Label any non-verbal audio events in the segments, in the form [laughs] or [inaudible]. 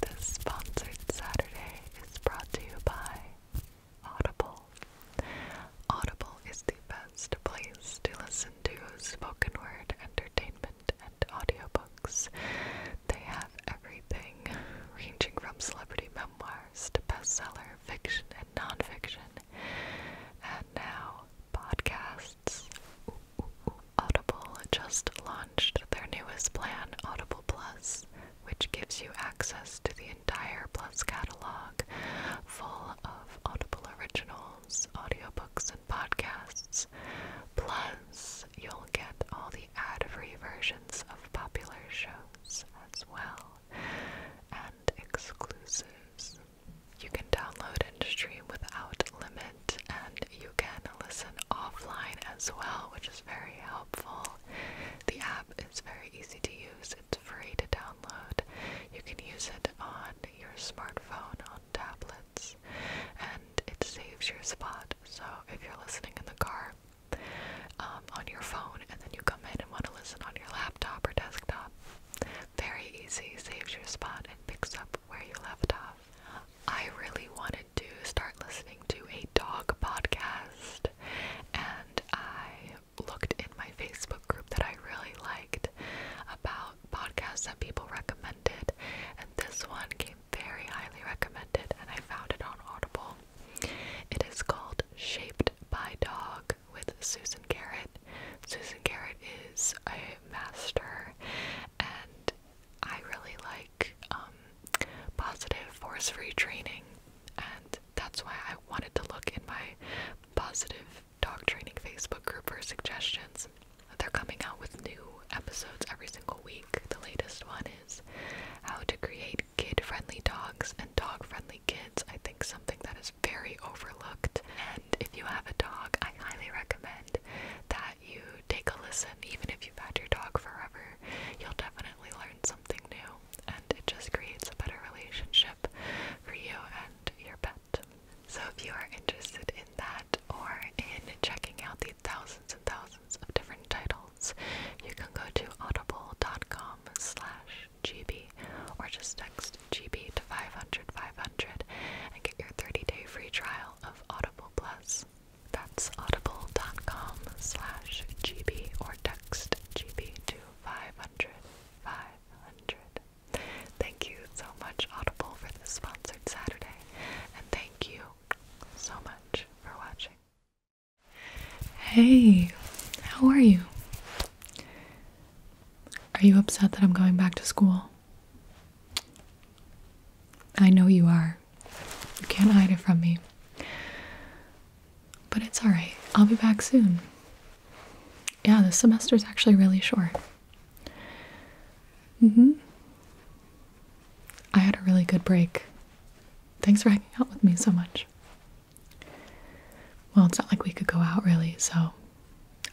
This sponsored Saturday is brought to you by Audible. Audible is the best place to listen to spoken word entertainment and audiobooks. They have everything ranging from celebrity memoirs to bestseller fiction and nonfiction, and now podcasts. Audible just launched their newest plan, Audible Plus, which gives you access to the entire Plus catalog full of Audible originals, audiobooks, and podcasts. Plus, you'll get all the ad-free versions of popular shows as well and exclusives. You can download and stream without limit and you can listen offline as well, which is very helpful. The app is very easy to use, it's free to download. You can use it on your smartphone, on tablets, and it saves your spot. So if you're listening in the car, um, on your phone, and then you come in and want to listen on your laptop or desktop. Very easy, saves your spot and picks up where you left off. I really wanted to start listening to a dog podcast, and I looked in my Facebook group that I really liked about podcasts that people recommended, and this one came very highly recommended, and I found it on Audible. It is called Shaped by Dog with Susan Garrett. Susan Garrett is a master and I really like um, positive force free training, and that's why I wanted to look in my positive dog training Facebook group for suggestions. They're coming out with new episodes every single week. The latest one is How to Create Kid Friendly Dogs and Dog Friendly Kids. I think something that is very overlooked. And if you have a dog, I highly recommend that you take a listen, even if you've had your dog forever, you'll definitely learn something new, and it just creates a better relationship for you and your pet. So, if you are interested in that or in checking out the thousands and thousands of different titles, you can go to audible.com/gb or just text GB to 500 500 and get your 30-day free trial of Audible Plus. That's audible.com slash GB or text GB to 500 500. Thank you so much, Audible, for this sponsored Saturday, and thank you so much for watching. Hey, how are you? Are you upset that I'm going back to school? I know you are. You can't hide it from me. But it's alright. I'll be back soon. Yeah, this semester's actually really short. Mm hmm. I had a really good break. Thanks for hanging out with me so much. Well, it's not like we could go out really, so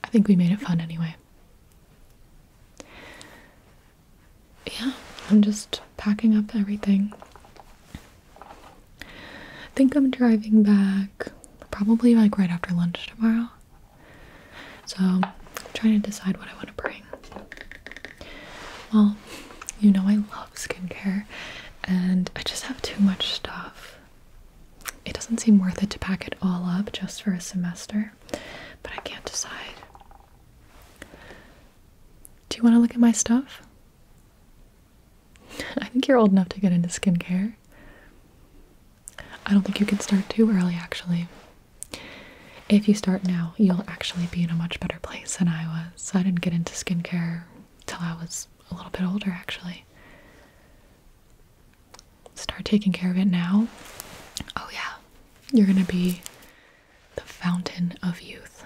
I think we made it fun anyway yeah, I'm just packing up everything. I think I'm driving back probably like right after lunch tomorrow. So I'm trying to decide what I want to bring. Well, you know I love skincare and I just have too much stuff. It doesn't seem worth it to pack it all up just for a semester, but I can't decide. Do you want to look at my stuff? [laughs] I think you're old enough to get into skincare. I don't think you can start too early, actually. If you start now, you'll actually be in a much better place than I was. I didn't get into skincare till I was a little bit older, actually. Start taking care of it now. Oh, yeah. You're gonna be the fountain of youth.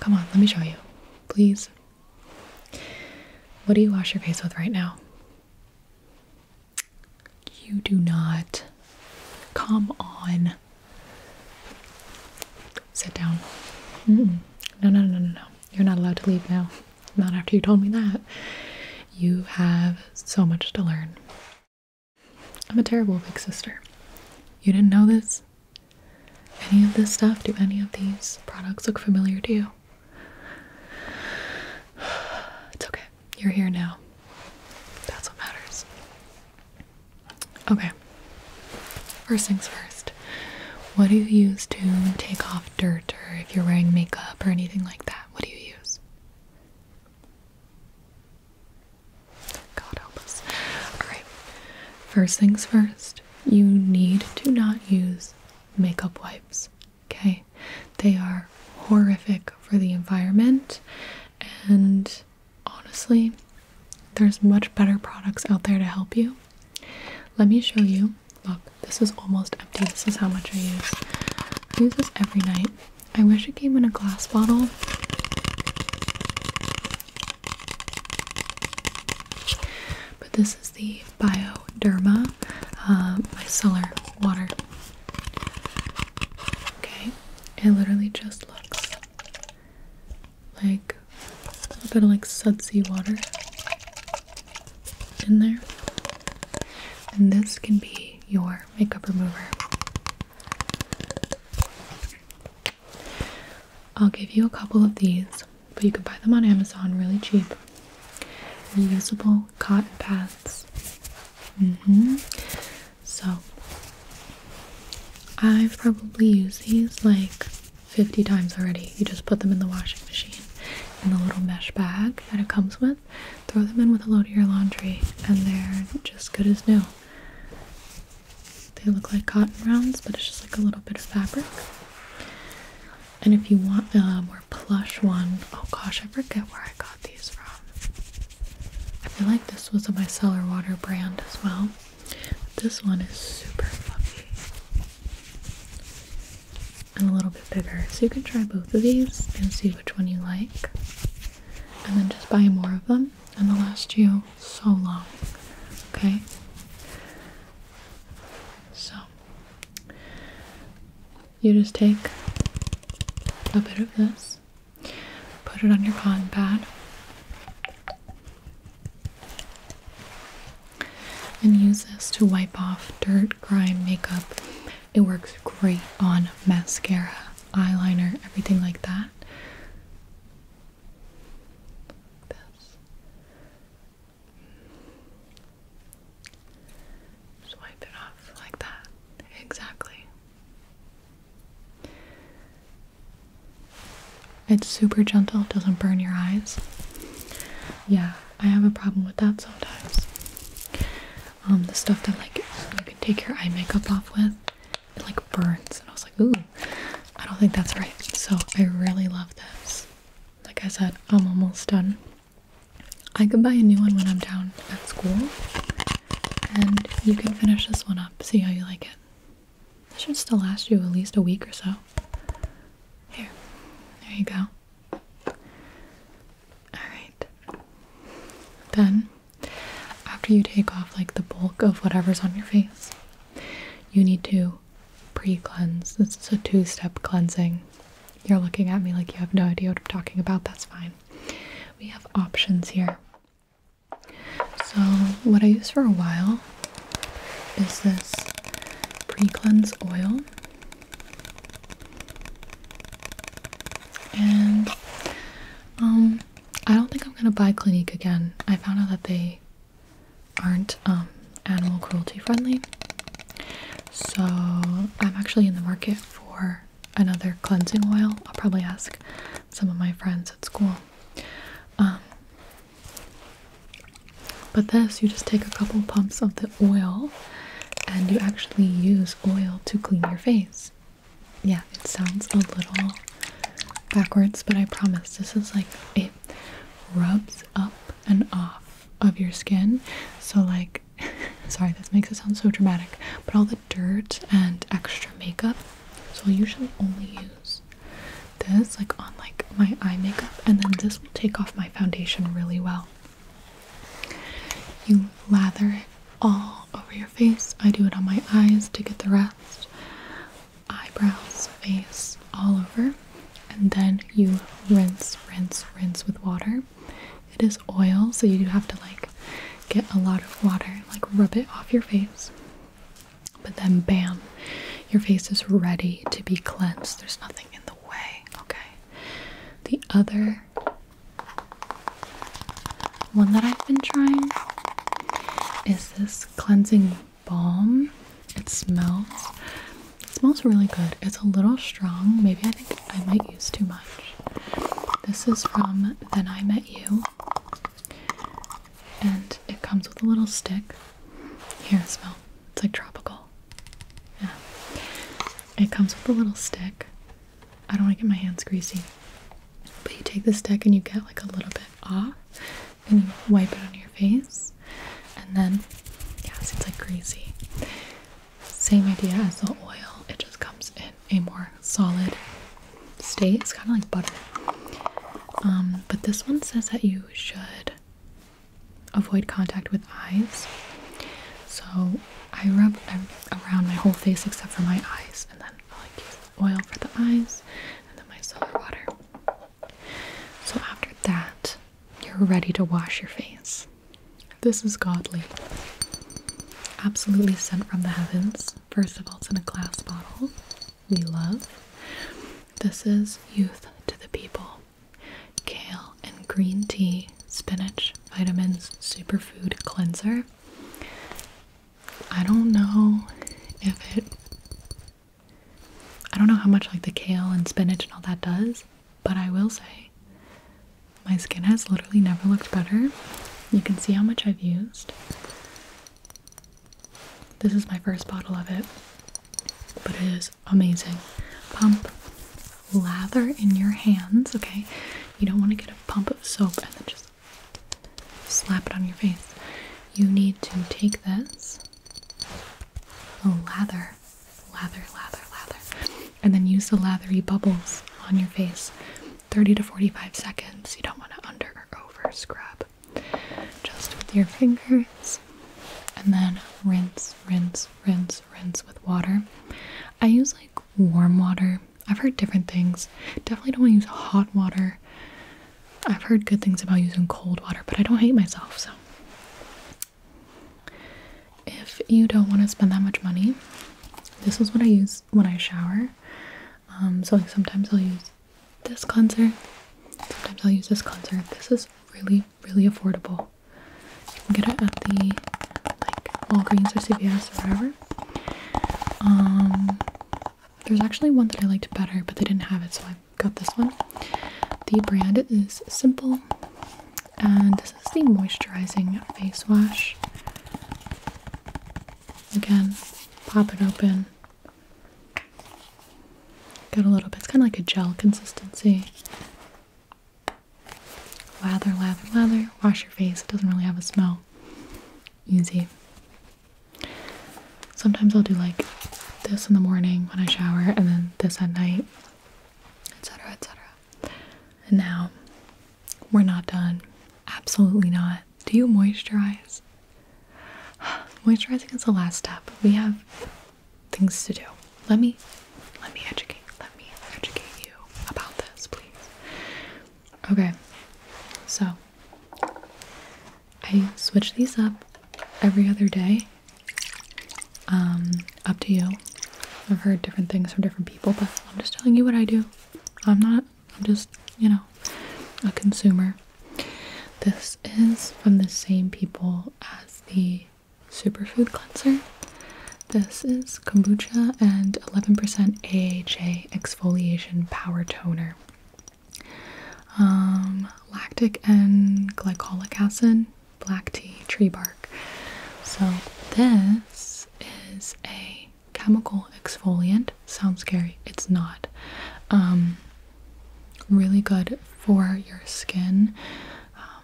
come on, let me show you, please. What do you wash your face with right now? You do not. Come on. Sit down. No, no, no, no, no. You're not allowed to leave now. Not after you told me that. You have so much to learn. I'm a terrible big sister. You didn't know this? Any of this stuff? Do any of these products look familiar to you? [sighs] It's okay. You're here now. That's what matters. Okay. First things first. What do you use to take off dirt or if you're wearing makeup or anything like that? What do you use? God help us. Alright, first things first, you need to not use makeup wipes, okay? They are horrific for the environment, and honestly, there's much better products out there to help you. Let me show you. Look, this is almost empty. This is how much I use. I use this every night. I wish it came in a glass bottle. But this is the Bioderma uh, micellar water. Okay, it literally just looks like a little bit of like sudsy water in there. And this can be your makeup remover. I'll give you a couple of these, but you can buy them on Amazon really cheap. Reusable cotton pads. hmm So I've probably used these like 50 times already. You just put them in the washing machine in the little mesh bag that it comes with. Throw them in with a load of your laundry, and they're just good as new. They look like cotton rounds, but it's just like a little bit of fabric. And if you want a more plush one, oh gosh, I forget where I got these from. I feel like this was a micellar water brand as well. This one is super fluffy and a little bit bigger. So you can try both of these and see which one you like and then just buy more of them and they'll last you so long. Okay? So you just take a bit of this, put it on your cotton pad, and use this to wipe off dirt, grime, makeup, it works great on mascara, eyeliner, everything like that. Swipe it off like that. Exactly. It's super gentle, doesn't burn your eyes. Yeah, I have a problem with that sometimes. Um, the stuff that like you can take your eye makeup off with. It like burns, and I was like, ooh, I don't think that's right. So I really love this. Like I said, I'm almost done. I can buy a new one when I'm down at school, and you can finish this one up. See how you like it. This should still last you at least a week or so. Here, there you go. Alright. Then after you take off like the bulk of whatever's on your face, you need to pre-cleanse. This is a two-step cleansing. You're looking at me like you have no idea what I'm talking about. That's fine. We have options here. So what I use for a while is this pre-cleanse oil. And um, I don't think I'm gonna buy Clinique again. I found out that they aren't um, animal cruelty friendly. So I'm actually in the market for another cleansing oil. I'll probably ask some of my friends at school. Um, but this, you just take a couple pumps of the oil and you actually use oil to clean your face yeah, it sounds a little backwards, but I promise this is like it rubs up and off of your skin. So, like, [laughs] sorry, this makes it sound so dramatic, but all the dirt and extra makeup. So, i usually only use this, like, on like my eye makeup, and then this will take off my foundation really well. You lather it all over your face. I do it on my eyes to get the rest, eyebrows, face, all over. And then you rinse, rinse, rinse with water. It is oil, so you do have to like get a lot of water, like rub it off your face. But then, bam, your face is ready to be cleansed. There's nothing in the way, okay? The other one that I've been trying is this cleansing balm. It smells it smells really good. It's a little strong. Maybe I think I might use too much. This is from Then I Met You. And it comes with a little stick. Here, smell. It's like tropical. Yeah. It comes with a little stick I don't want to get my hands greasy. But you take this stick and you get like a little bit off and you wipe it on your face. And then, yeah, it's like greasy. Same idea as the oil, it just comes in a more solid state. It's kind of like butter. Um, but this one says that you should avoid contact with eyes. So I rub around my whole face except for my eyes, and then oil for the eyes, and then my solar water. So after that, you're ready to wash your face. This is godly. Absolutely sent from the heavens. First of all, it's in a glass bottle. We love. This is youth to the people. Kale and green tea, spinach, vitamins, superfood cleanser. I don't know if it I don't know how much like the kale and spinach and all that does, but I will say my skin has literally never looked better. You can see how much I've used. This is my first bottle of it, but it is amazing. Pump lather in your hands, okay? You don't want to get a pump of soap and then just slap it on your face. You need to take this, oh, lather, lather, lather, lather, and then use the lathery bubbles on your face 30 to 45 seconds. You don't want to under or over scrub. Just with your fingers, and then rinse, rinse, rinse, rinse with water. I use like warm water I've heard different things. Definitely don't want to use hot water. I've heard good things about using cold water, but I don't hate myself, so. If you don't want to spend that much money, this is what I use when I shower. Um, so sometimes I'll use this cleanser. Sometimes I'll use this cleanser. This is really, really affordable. You can get it at the like Walgreens or CVS or whatever. Um, there's actually one that I liked better, but they didn't have it, so I got this one. The brand is Simple, and this is the moisturizing face wash. Again, pop it open. Got a little bit, it's kind of like a gel consistency. Lather, lather, lather, wash your face. It doesn't really have a smell easy. Sometimes I'll do like this in the morning when I shower and then this at night, etc. etc. And now we're not done. Absolutely not. Do you moisturize? [sighs] Moisturizing is the last step. We have things to do. Let me let me educate. Let me educate you about this, please. Okay. So, I switch these up every other day. Um, up to you. I've heard different things from different people, but I'm just telling you what I do. I'm not, I'm just, you know, a consumer. This is from the same people as the superfood cleanser. This is kombucha and 11% AHA exfoliation power toner. Um, lactic and glycolic acid, black tea, tree bark. So this is a chemical exfoliant. Sounds scary. It's not. Um, really good for your skin. Um,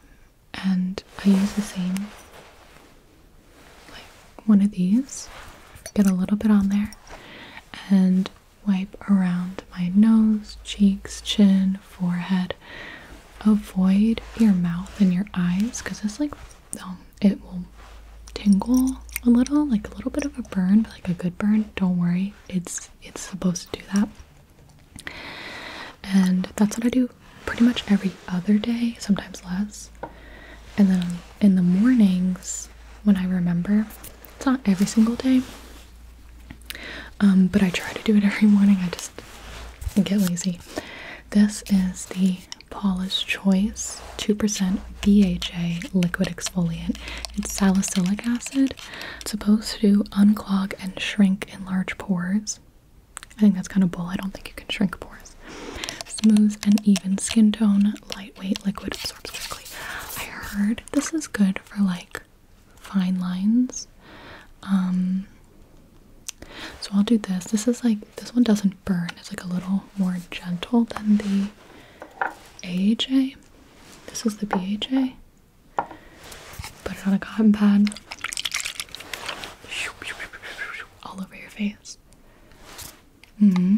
and I use the same like one of these, get a little bit on there, and wipe around my nose, cheeks, chin, forehead. Avoid your mouth and your eyes because it's like um, it will tingle a little, like a little bit of a burn, like a good burn. Don't worry, it's it's supposed to do that. And that's what I do pretty much every other day, sometimes less. And then in the mornings, when I remember, it's not every single day, um, but I try to do it [laughs] every morning. I just get lazy. This is the Paula's Choice 2% BHA liquid exfoliant. It's salicylic acid. supposed to unclog and shrink in large pores. I think that's kind of bull. I don't think you can shrink pores. Smooth and even skin tone, lightweight, liquid, absorbs quickly. I heard this is good for like fine lines. Um, so I'll do this. This is like, this one doesn't burn. It's like a little more gentle than the AHA. This is the BHA. Put it on a cotton pad. All over your face. Mm hmm.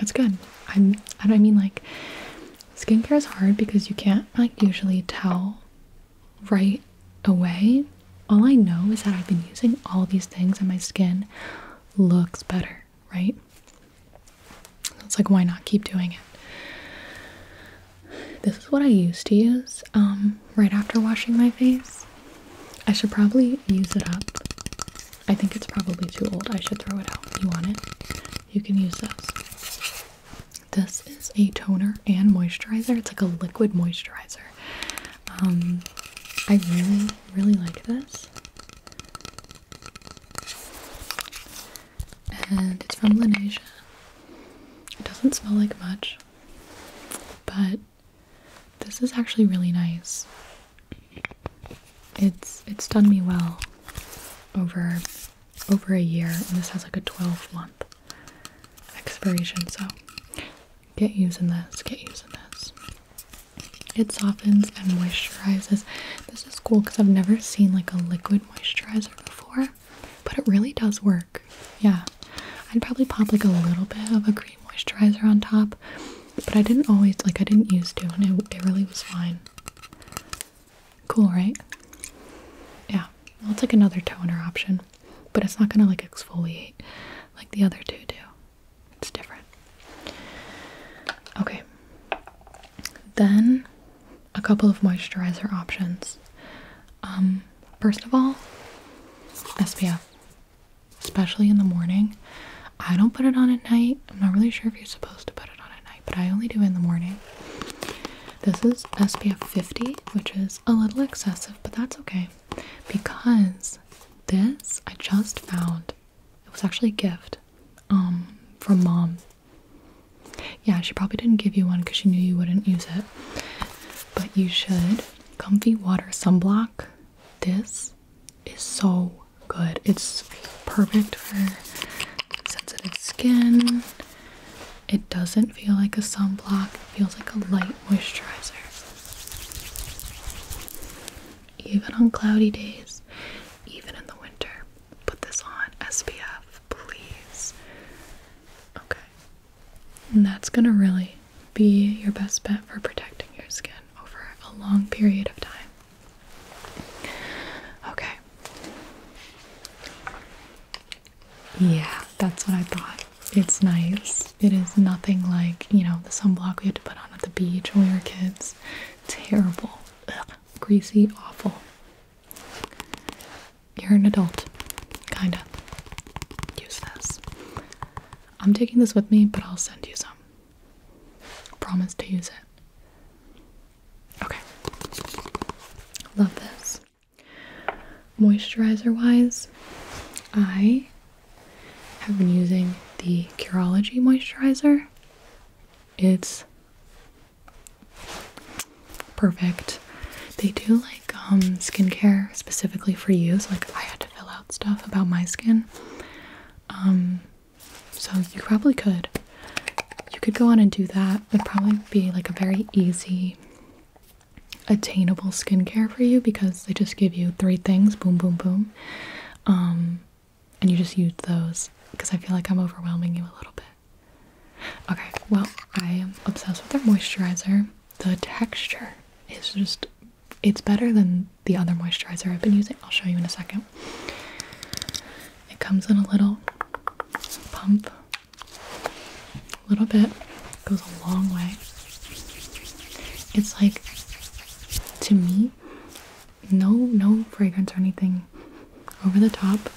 It's good. I'm. I am i mean like, skincare is hard because you can't like usually tell right away. All I know is that I've been using all these things and my skin looks better, right? it's like why not keep doing it? This is what I used to use um right after washing my face. I should probably use it up I think it's probably too old. I should throw it out. You want it? You can use this. This is a toner and moisturizer. It's like a liquid moisturizer. Um, I really, really like this. And it's from Laneige. It doesn't smell like much, but this is actually really nice. It's it's done me well over over a year and this has like a 12 month expiration so get using this get using this it softens and moisturizes this is cool because i've never seen like a liquid moisturizer before but it really does work yeah i'd probably pop like a little bit of a moisturizer on top, but I didn't always like I didn't use to, and it, really was fine. Cool, right? Yeah, well, it's like another toner option, but it's not gonna like exfoliate like the other two do. It's different. Okay, then a couple of moisturizer options. Um, first of all, SPF especially in the morning. I don't put it on at night. I'm not really sure if you're supposed to put it on at night, but I only do it in the morning. This is SPF 50, which is a little excessive, but that's okay because this I just found. It was actually a gift um from mom. Yeah, she probably didn't give you one because she knew you wouldn't use it. But you should. Comfy water sunblock. This is so good. It's perfect for sensitive skin. It doesn't feel like a sunblock, it feels like a light moisturizer. Even on cloudy days, even in the winter, put this on SPF, please. Okay. And that's going to really be your best bet for protecting your skin over a long period of time. Okay. Yeah, that's what I thought. It's nice. It is nothing like, you know, the sunblock we had to put on at the beach when we were kids. Terrible. Greasy, awful. You're an adult. Kinda. Use this. I'm taking this with me, but I'll send you some. I promise to use it. Okay. Love this. Moisturizer wise, I have been using the Curology moisturizer. It's perfect. They do like um skincare specifically for you, so like I had to fill out stuff about my skin. Um, so you probably could. You could go on and do that. It would probably be like a very easy attainable skincare for you because they just give you three things, boom boom boom. Um, and you just use those because I feel like I'm overwhelming you a little bit. Okay, well, I am obsessed with their moisturizer. The texture is just it's better than the other moisturizer I've been using. I'll show you in a second. It comes in a little pump, a little bit, goes a long way. It's like, to me, no, no fragrance or anything over the top.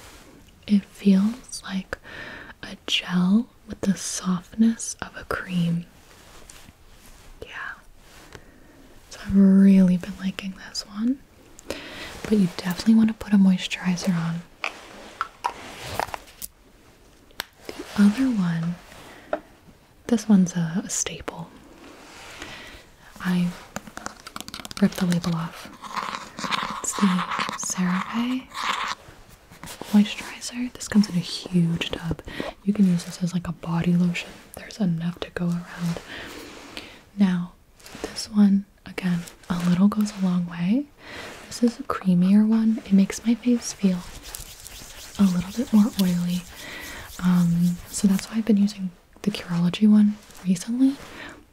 It feels like a gel with the softness of a cream. Yeah. So I've really been liking this one. But you definitely want to put a moisturizer on. The other one, this one's a, staple. I ripped the label off. It's the CeraVe moisturizer. This comes in a huge tub. You can use this as like a body lotion there's enough to go around. Now, this one, again, a little goes a long way. This is a creamier one. It makes my face feel a little bit more oily. Um, so that's why I've been using the Curology one recently.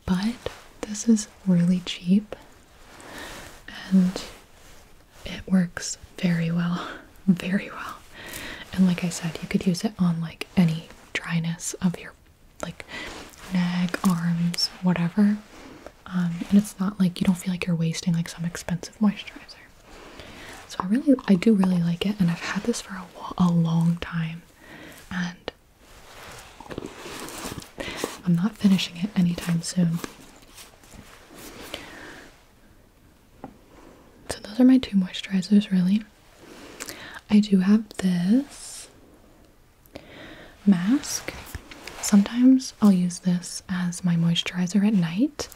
But this is really cheap and it works very well. [laughs] Very well. And like I said, you could use it on like any dryness of your like neck, arms, whatever. Um, and it's not like you don't feel like you're wasting like some expensive moisturizer. So I really, I do really like it, and I've had this for a, a long time, and I'm not finishing it anytime soon. So those are my two moisturizers really. I do have this mask. Sometimes I'll use this as my moisturizer at night.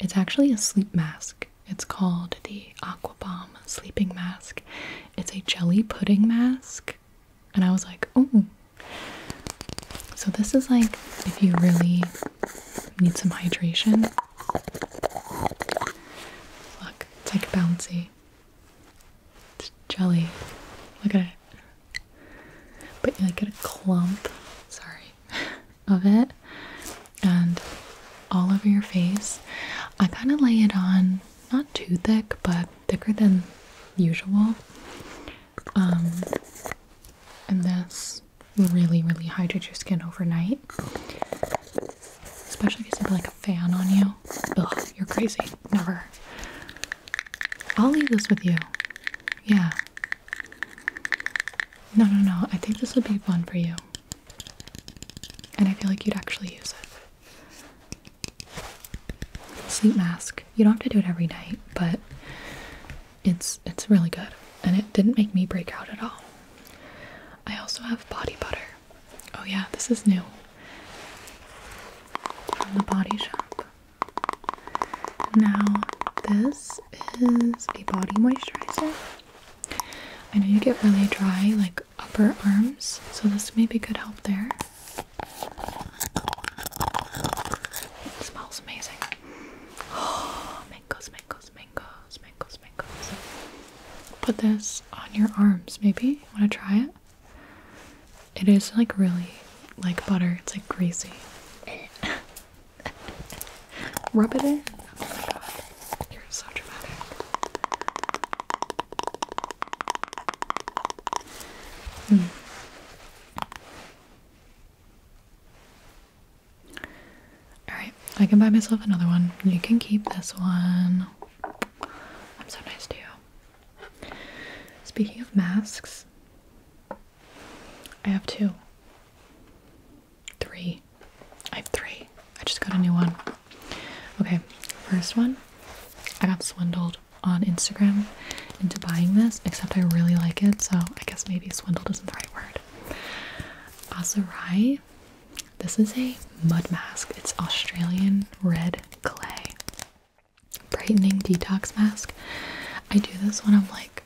It's actually a sleep mask. It's called the Aqua Bomb Sleeping Mask. It's a jelly pudding mask. And I was like, oh. So this is like if you really need some hydration it's like bouncy. It's jelly. Look at it. But you like get a clump, sorry, [laughs] of it, and all over your face. I kind of lay it on, not too thick, but thicker than usual. Um, and this really, really hydrates your skin overnight. Especially if you have like a fan on you. Ugh, you're crazy. Never. I'll leave this with you. Yeah. No, no, no. I think this would be fun for you. And I feel like you'd actually use it. Sleep mask. You don't have to do it every night, but it's it's really good. And it didn't make me break out at all. I also have body butter. Oh, yeah, this is new from the body shop. Now, this is a body moisturizer. I know you get really dry, like upper arms, so this may be good help there. smells amazing. Oh, [gasps] mangoes, mangoes, mangoes, mangoes, mangoes, Put this on your arms, maybe. Wanna try it? It is like really like butter, it's like greasy. [laughs] Rub it in. You're so dramatic. Mm. Alright, I can buy myself another one. You can keep this one. I'm so nice to you. Speaking of masks, I have two. Three. I have three. I just got a new one. Okay, first one, I got swindled on Instagram into buying this, except I really like it, so I guess maybe swindled isn't the right word. Azurai this is a mud mask. It's Australian red clay. Brightening detox mask. I do this when I'm like,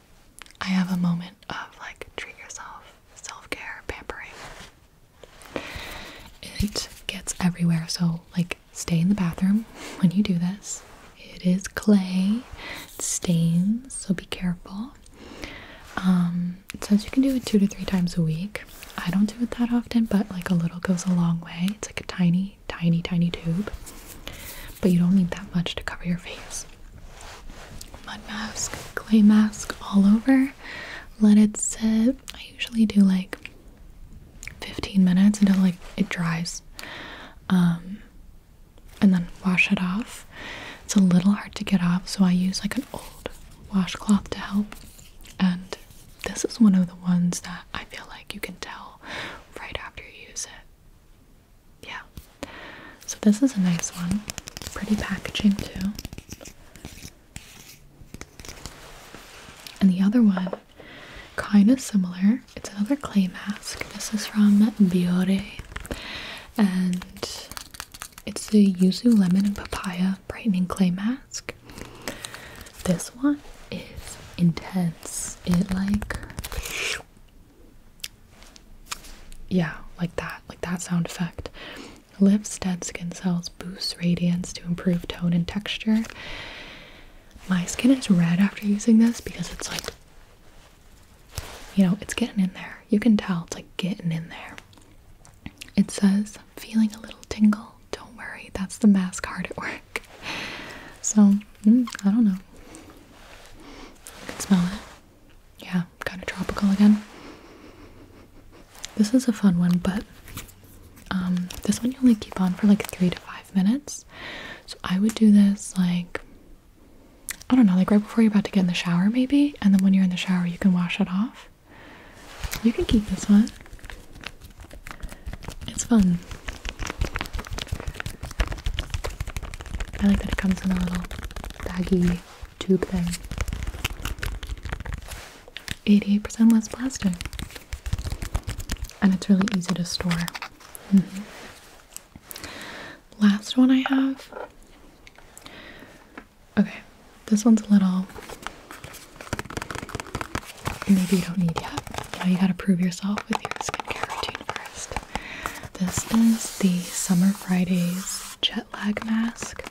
I have a moment of like treat yourself, self care, pampering. It gets everywhere, so like stay in the bathroom when you do this. It is clay, stains, so be careful. Um, it you can do it two to three times a week. I don't do it that often, but like a little goes a long way. It's like a tiny, tiny, tiny tube, but you don't need that much to cover your face. Mud mask, clay mask, all over. Let it sit. I usually do like 15 minutes until like it dries. Um, and then wash it off. It's a little hard to get off, so I use like an old washcloth to help. And this is one of the ones that I feel like you can tell right after you use it. Yeah. So this is a nice one. Pretty packaging too. And the other one, kind of similar. It's another clay mask. This is from Biore. And it's a yuzu lemon and papaya brightening clay mask. This one is intense. It like yeah, like that, like that sound effect. Lifts dead skin cells, boosts radiance to improve tone and texture. My skin is red after using this because it's like, you know, it's getting in there. You can tell it's like getting in there. It says, feeling a little tingle? Don't worry, that's the mask card at work. So, mm, I don't know. You can smell it. Yeah, kind of tropical again. This is a fun one, but um, this one you only keep on for like three to five minutes. So I would do this like, I don't know, like right before you're about to get in the shower maybe. And then when you're in the shower, you can wash it off. You can keep this one. It's fun. I like that it comes in a little baggy tube thing. 88% less plastic. And it's really easy to store. Mm-hmm. Last one I have Okay, this one's a little. Maybe you don't need yet. Now you gotta prove yourself with your skincare routine first. This is the Summer Fridays Jet Lag Mask.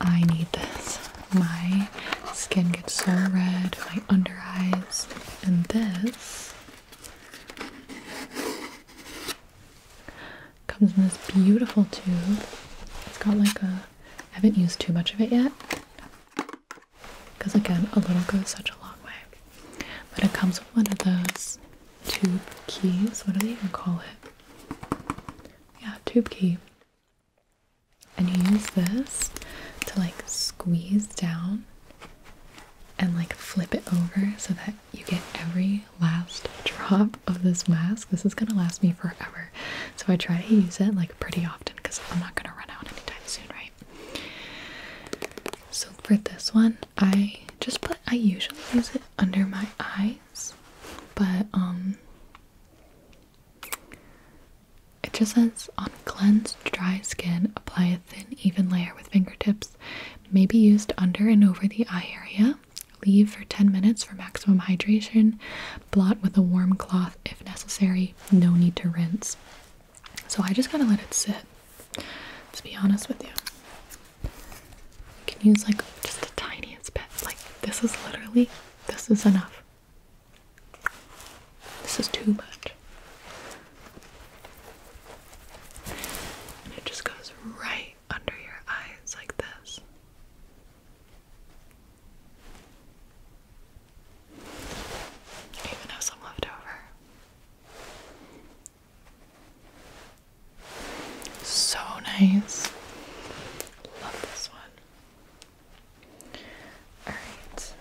I need this. My skin gets so red, my under eyes, and this Comes in this beautiful tube. It's got like a. I haven't used too much of it yet. Because again, a little goes such a long way. But it comes with one of those tube keys. What do they even call it? Yeah, tube key. And you use this to like squeeze down and like flip it over so that you get every last drop of this mask. This is gonna last me forever. So I try to use it like pretty often because I'm not gonna run out anytime soon, right? So for this one, I just put I usually use it under my eyes, but um it just says on cleansed dry skin, apply a thin even layer with fingertips, may be used under and over the eye area. Leave for 10 minutes for maximum hydration. Blot with a warm cloth if necessary. No need to rinse. So I just gotta let it sit. To be honest with you, you can use like just the tiniest bit. Like this is literally, this is enough. This is too much. And it just goes right under your eyes like this. Even have some left over. So nice. Love this one. Alright.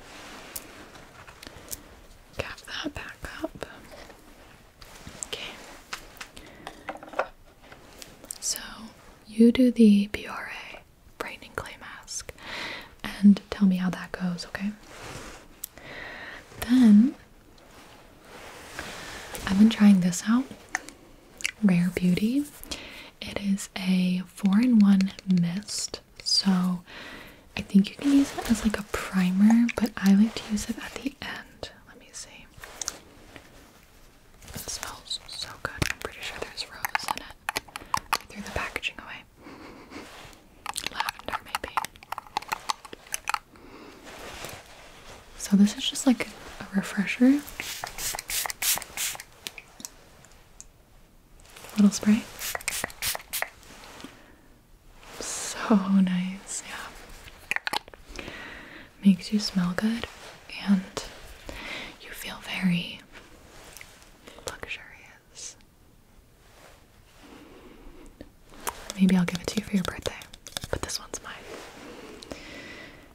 Cap that back up. Okay. So you do the B.R.A. brightening clay mask, and tell me how that goes, okay? Then I've been trying this out Rare Beauty. It is a 4 in 1 mist. So I think you can use it as like a primer, but I like to use it at the end. Let me see. It smells so good. I'm pretty sure there's rose in it. I threw the packaging away. Lavender, maybe. So, this is just like a refresher. Little spray. So nice, yeah makes you smell good and you feel very luxurious. Maybe I'll give it to you for your birthday, but this one's mine.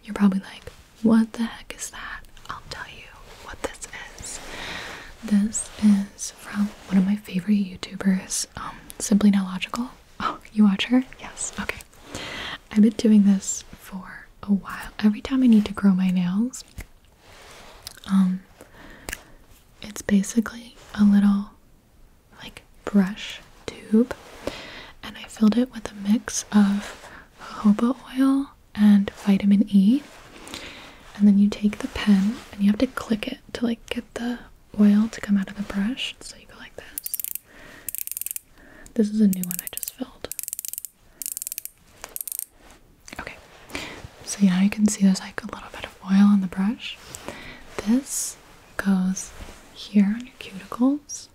You're probably like, what the heck is that? I'll tell you what this is. This is from one of my favorite YouTubers, um, Simply Now Logical. Oh, you watch her? Yes. Okay. I've been doing this for a while. Every time I need to grow my nails, um, it's basically a little like brush tube, and I filled it with a mix of jojoba oil and vitamin E. And then you take the pen and you have to click it to like get the oil to come out of the brush. So you go like this. This is a new one I just filled. Okay, so yeah, you can see there's like a little bit of oil on the brush. This goes here on your cuticles.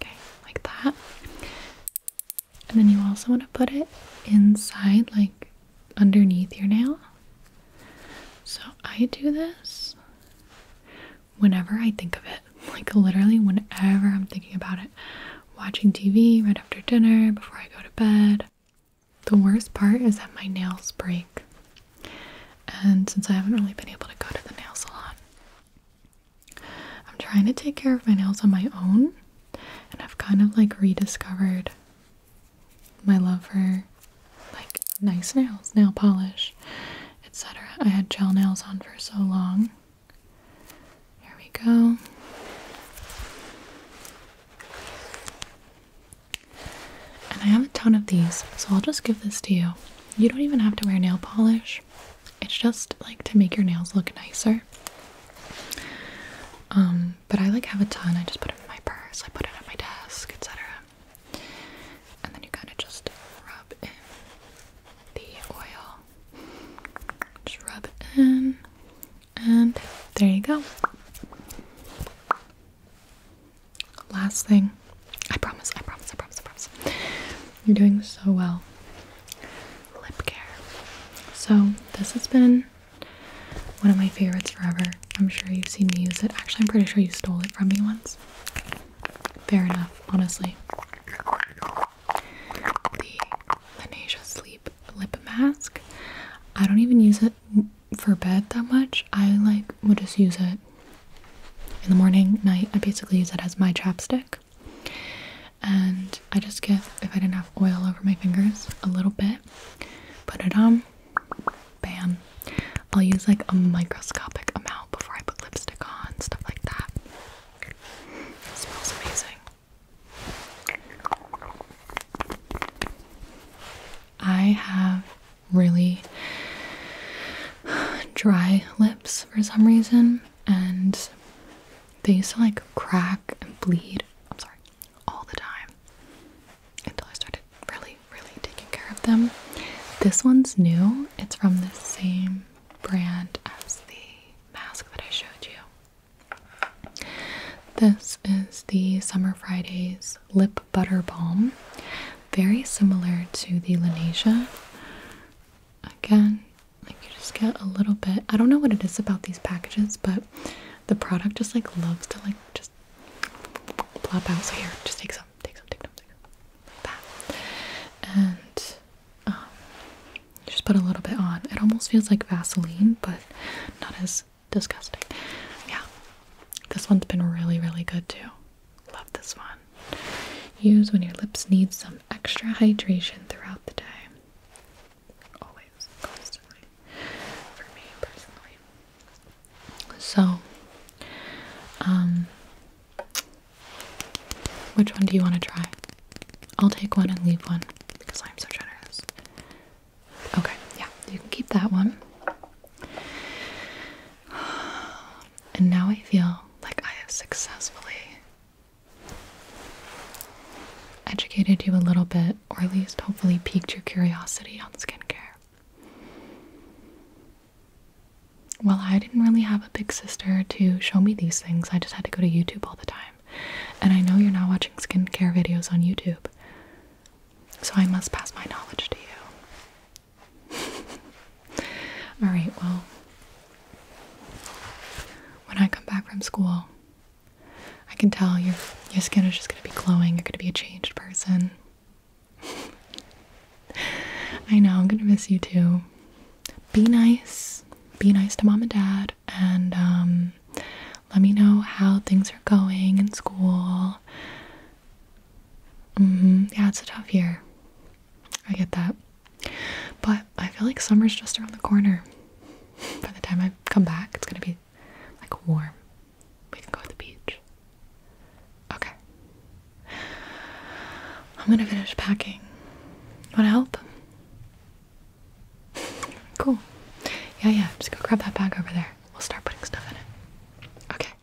Okay, like that. And then you also want to put it inside, like underneath your nail. So I do this whenever I think of it. [laughs] Like literally whenever I'm thinking about it. Watching TV right after dinner, before I go to bed. The worst part is that my nails break. And since I haven't really been able to go to the nail salon, I'm trying to take care of my nails on my own. And I've kind of like rediscovered my love for like nice nails, nail polish, etc. I had gel nails on for so long. Here we go. And I have a ton of these, so I'll just give this to you. You don't even have to wear nail polish. It's just like to make your nails look nicer. Um, but I like have a ton. I just put it in my purse, I put it on my desk, etc. And then you kind of just rub in the oil. Just rub it in. And there you go. Last thing. I promise, I promise, I promise, I promise. You're doing so well. Lip care. So, this has been one of my favorites forever. I'm sure you've seen me use it. Actually, I'm pretty sure you stole it from me once. Fair enough, honestly. The Lanesia Sleep Lip Mask. I don't even use it for bed that much. I like would just use it in the morning, night. I basically use it as my chapstick. And I just get, if I didn't have oil over my fingers, a little bit, put it on, bam. I'll use like a microscopic amount before I put lipstick on, stuff like that. smells amazing. I have really dry lips for some reason, and they used to like crack and bleed. I'm sorry, all the time until I started really, really taking care of them. This one's new, it's from the same brand as the mask that I showed you. This is the Summer Fridays Lip Butter Balm. Very similar to the Lanesia. Again, like you just get a little bit. I don't know what it is about these packages, but the product just like loves to like just plop out. So here, just take some, take some, take some, take some. Like that. And Oh. just put a little bit on. It almost feels like Vaseline, but not as disgusting. Yeah, this one's been really, really good too. Love this one. Use when your lips need some extra hydration throughout the day. Always, constantly. For me personally. So, um, which one do you want to try? I'll take one and leave one because I'm so generous. Okay, yeah, you can keep that one. [sighs] And now I feel like I have successfully educated you a little bit, or at least hopefully piqued your curiosity on skincare. Well, I didn't really have a big sister to show me these things. I just had to go to YouTube all the time. And I know you're not watching skincare videos on YouTube. So I must pass my knowledge to you. [laughs] Alright, well, when I come back from school, I can tell your, your skin is just going to be glowing. You're going to be a changed person. [laughs] I know, I'm gonna miss you too. Be nice. Be nice to mom and dad and um, let me know how things are going in school. Mm-hmm. Yeah, it's a tough year. I get that. But I feel like summer's just around the corner. [laughs] By the time I come back, it's gonna be like warm. We can go to the beach. Okay. I'm gonna finish packing. Wanna help? Cool. Yeah, yeah, just go grab that bag over there. We'll start putting stuff in it. Okay.